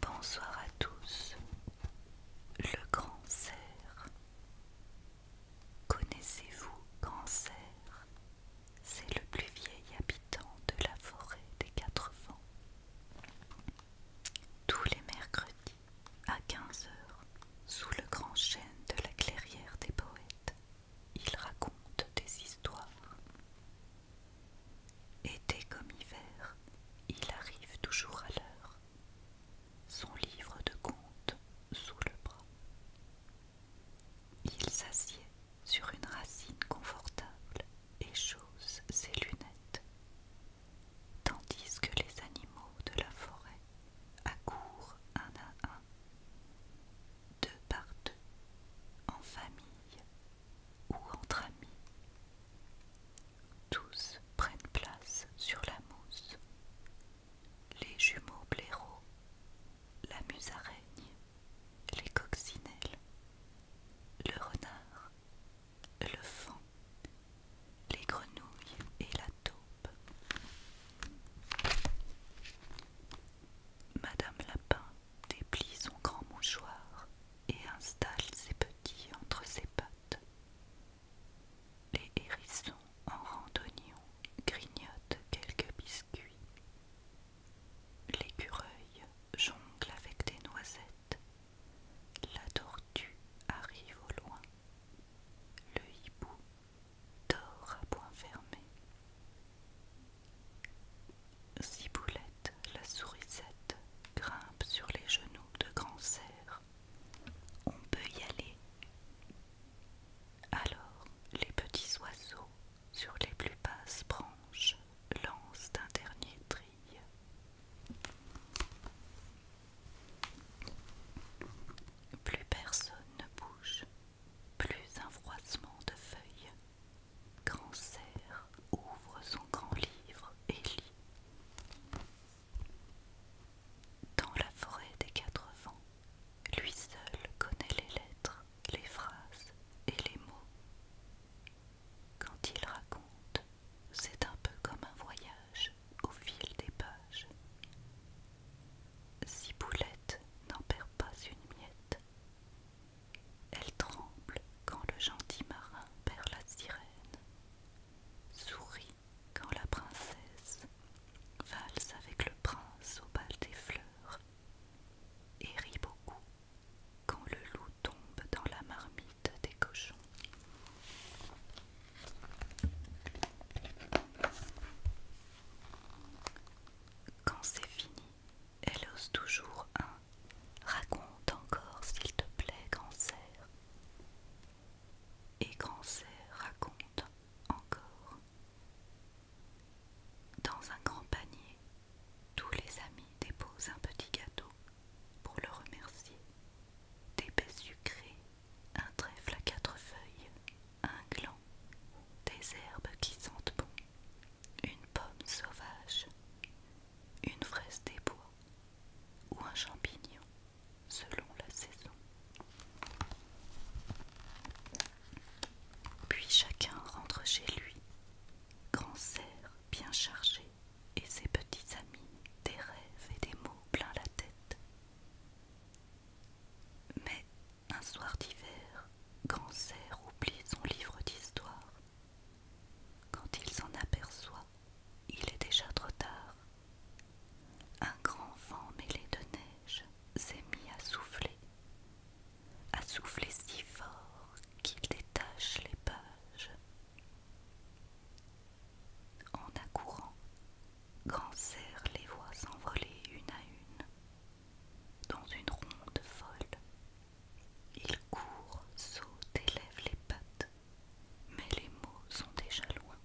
Bonsoir à tous. Le Grand Cerf Connaissez-vous Grand Cerf C'est le plus vieil habitant de la forêt des quatre vents. Tous les mercredis à quinze heures, sous le grand chêne de la clairière des poètes, il raconte des histoires. Été comme hiver, il arrive toujours à l'heure, son livre de contes sous le bras. Il s'assied sur une racine confortable et chose ses lunettes, tandis que les animaux de la forêt accourent un à un, deux par deux, en famille ou entre amis. Tous prennent place sur la mousse. Les jumeaux blaireaux, la musaraigne, les coccinelles, le renard, le vent, les grenouilles et la taupe. Madame Lapin déplie son grand mouchoir et installe ses petits entre ses pattes. Les hérissons en rang grignotent quelques biscuits. L'écureuil jongle avec des noisettes la tortue arrive au loin. Le hibou dort à point fermé. Ciboulette, la sourisette, grimpe sur les genoux de grand cerf. On peut y aller. Alors, les petits oiseaux, sur les plus basses branches, lancent un dernier tri. Plus personne ne bouge, plus un froissement de feuilles. Grand cerf ouvre son grand livre et lit. Dans la forêt des quatre vents, lui seul connaît les lettres, les phrases et les mots. Quand il raconte, c'est un peu comme un voyage au fil des pages. Boulette n'en perd pas une miette. Elle tremble quand le gentil marin perd la sirène, sourit quand la princesse valse avec le prince au bal des fleurs, et rit beaucoup quand le loup tombe dans la marmite des cochons. Quand c'est fini, elle ose toujours un Raconte encore, s'il te plaît, grand cerf. Et grand cerf raconte encore. Dans un grand panier, tous les amis déposent un petit gâteau pour le remercier. Des baies sucrées, un trèfle à quatre feuilles, un gland, des herbes qui sentent bon, une pomme sauvage, une fraise des bois ou un champignon selon la saison. Puis chacun rentre chez lui grand cerf bien chargé et ses petits amis, des rêves et des mots plein la tête. Mais un soir d'hiver, grand cerf oublie son livre d'histoire. Quand il s'en aperçoit, il est déjà trop tard. Un grand vent mêlé de neige s'est mis à souffler à souffler si fort qu'il détache les pages. En accourant, Grand sert les voix s'envoler une à une, dans une ronde folle. Il court, saute et lève les pattes, mais les mots sont déjà loin.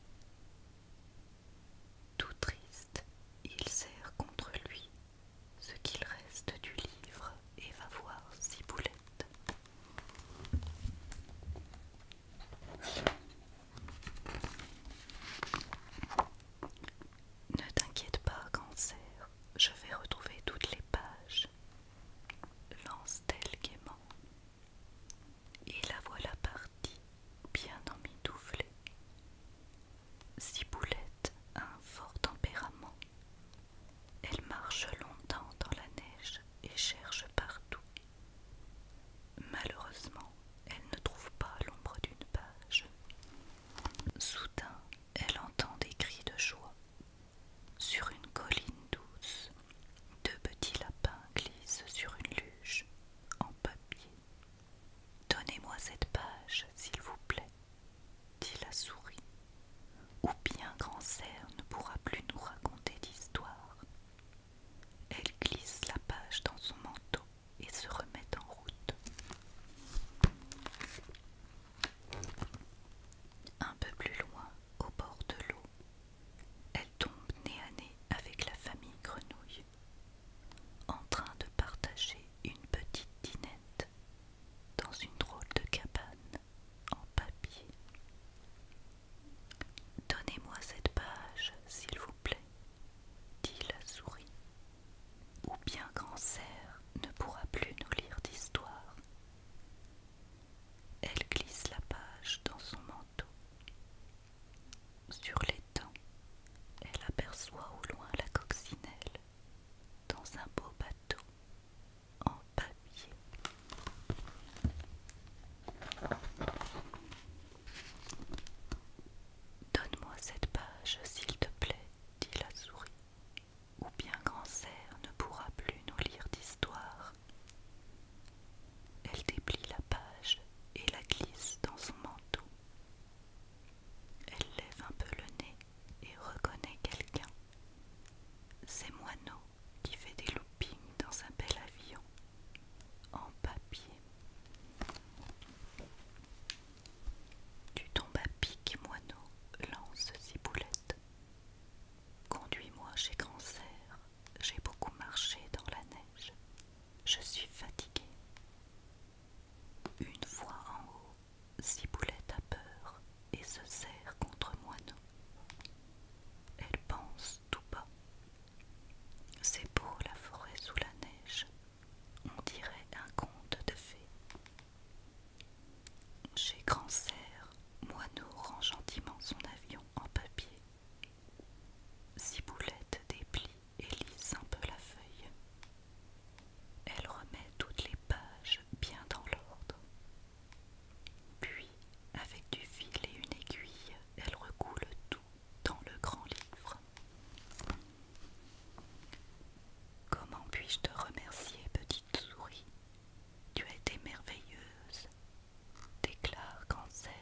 Tout triste, il sert contre lui ce qu'il reste du livre et va voir Ciboulette. Ne t'inquiète pas, cancer, je vais retrouver toutes les pages, lance-t-elle gaiement. Et la voilà partie, bien emmitouflée, Ciboulette a un fort tempérament. Elle marche longtemps dans la neige et cherche partout. Malheureusement, elle ne trouve pas l'ombre d'une page. Soudain, elle entend des cris de joie. Sur une colline douce, deux petits lapins glissent sur une luge en papier. Donnez-moi cette page, s'il vous plaît, dit la souris, ou bien Grand Cerf ne pourra plus nous raconter d'histoire. Elle glisse la page dans son manteau et se remet en route. Un peu plus loin, au bord de l'eau, elle tombe nez à nez avec la famille Grenouille en train de partager une petite dinette dans une drôle de cabane en papier. Donnez-moi cette page, s'il vous plaît, dit la souris, ou bien Grand ne pourra plus nous lire d'histoire. Elle glisse la page dans son manteau. Sur l'étang, elle aperçoit au loin la coccinelle dans un beau bateau en papier. Donne-moi cette page, s'il te plaît, dit la souris, ou bien Grand ne pourra plus nous lire d'histoire. Elle déplie la page et la glisse dans son manteau. Elle lève un peu le nez et reconnaît quelqu'un. C'est Moineau qui fait des loopings dans un bel avion en papier. Tu tombes à pic, Moineau, lance boulettes. Conduis-moi chez Cancer. J'ai beaucoup marché dans la neige. Je suis fatiguée. Une fois en haut, Ciboulette a peur et se serre contre Moineau. Elle pense tout bas. C'est beau la forêt sous la neige. On dirait un conte de fées. Chez Grand Serre, Moineau rend gentiment son avion en papier Ciboulette déplie et lisse un peu la feuille. Elle remet toutes les pages bien dans l'ordre. Puis, avec du fil et une aiguille, elle recoule tout dans le grand livre. Comment puis-je te remercier, petite souris Tu as été merveilleuse, déclare Cancer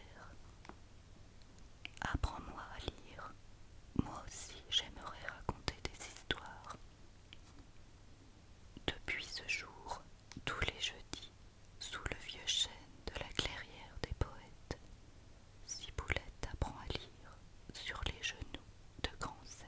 Apprends-moi à lire. Moi aussi j'aimerais raconter des histoires. Depuis ce jour, tous les jeudis, sous le vieux chêne de la clairière des poètes, Siboulette apprend à lire sur les genoux de Cancer.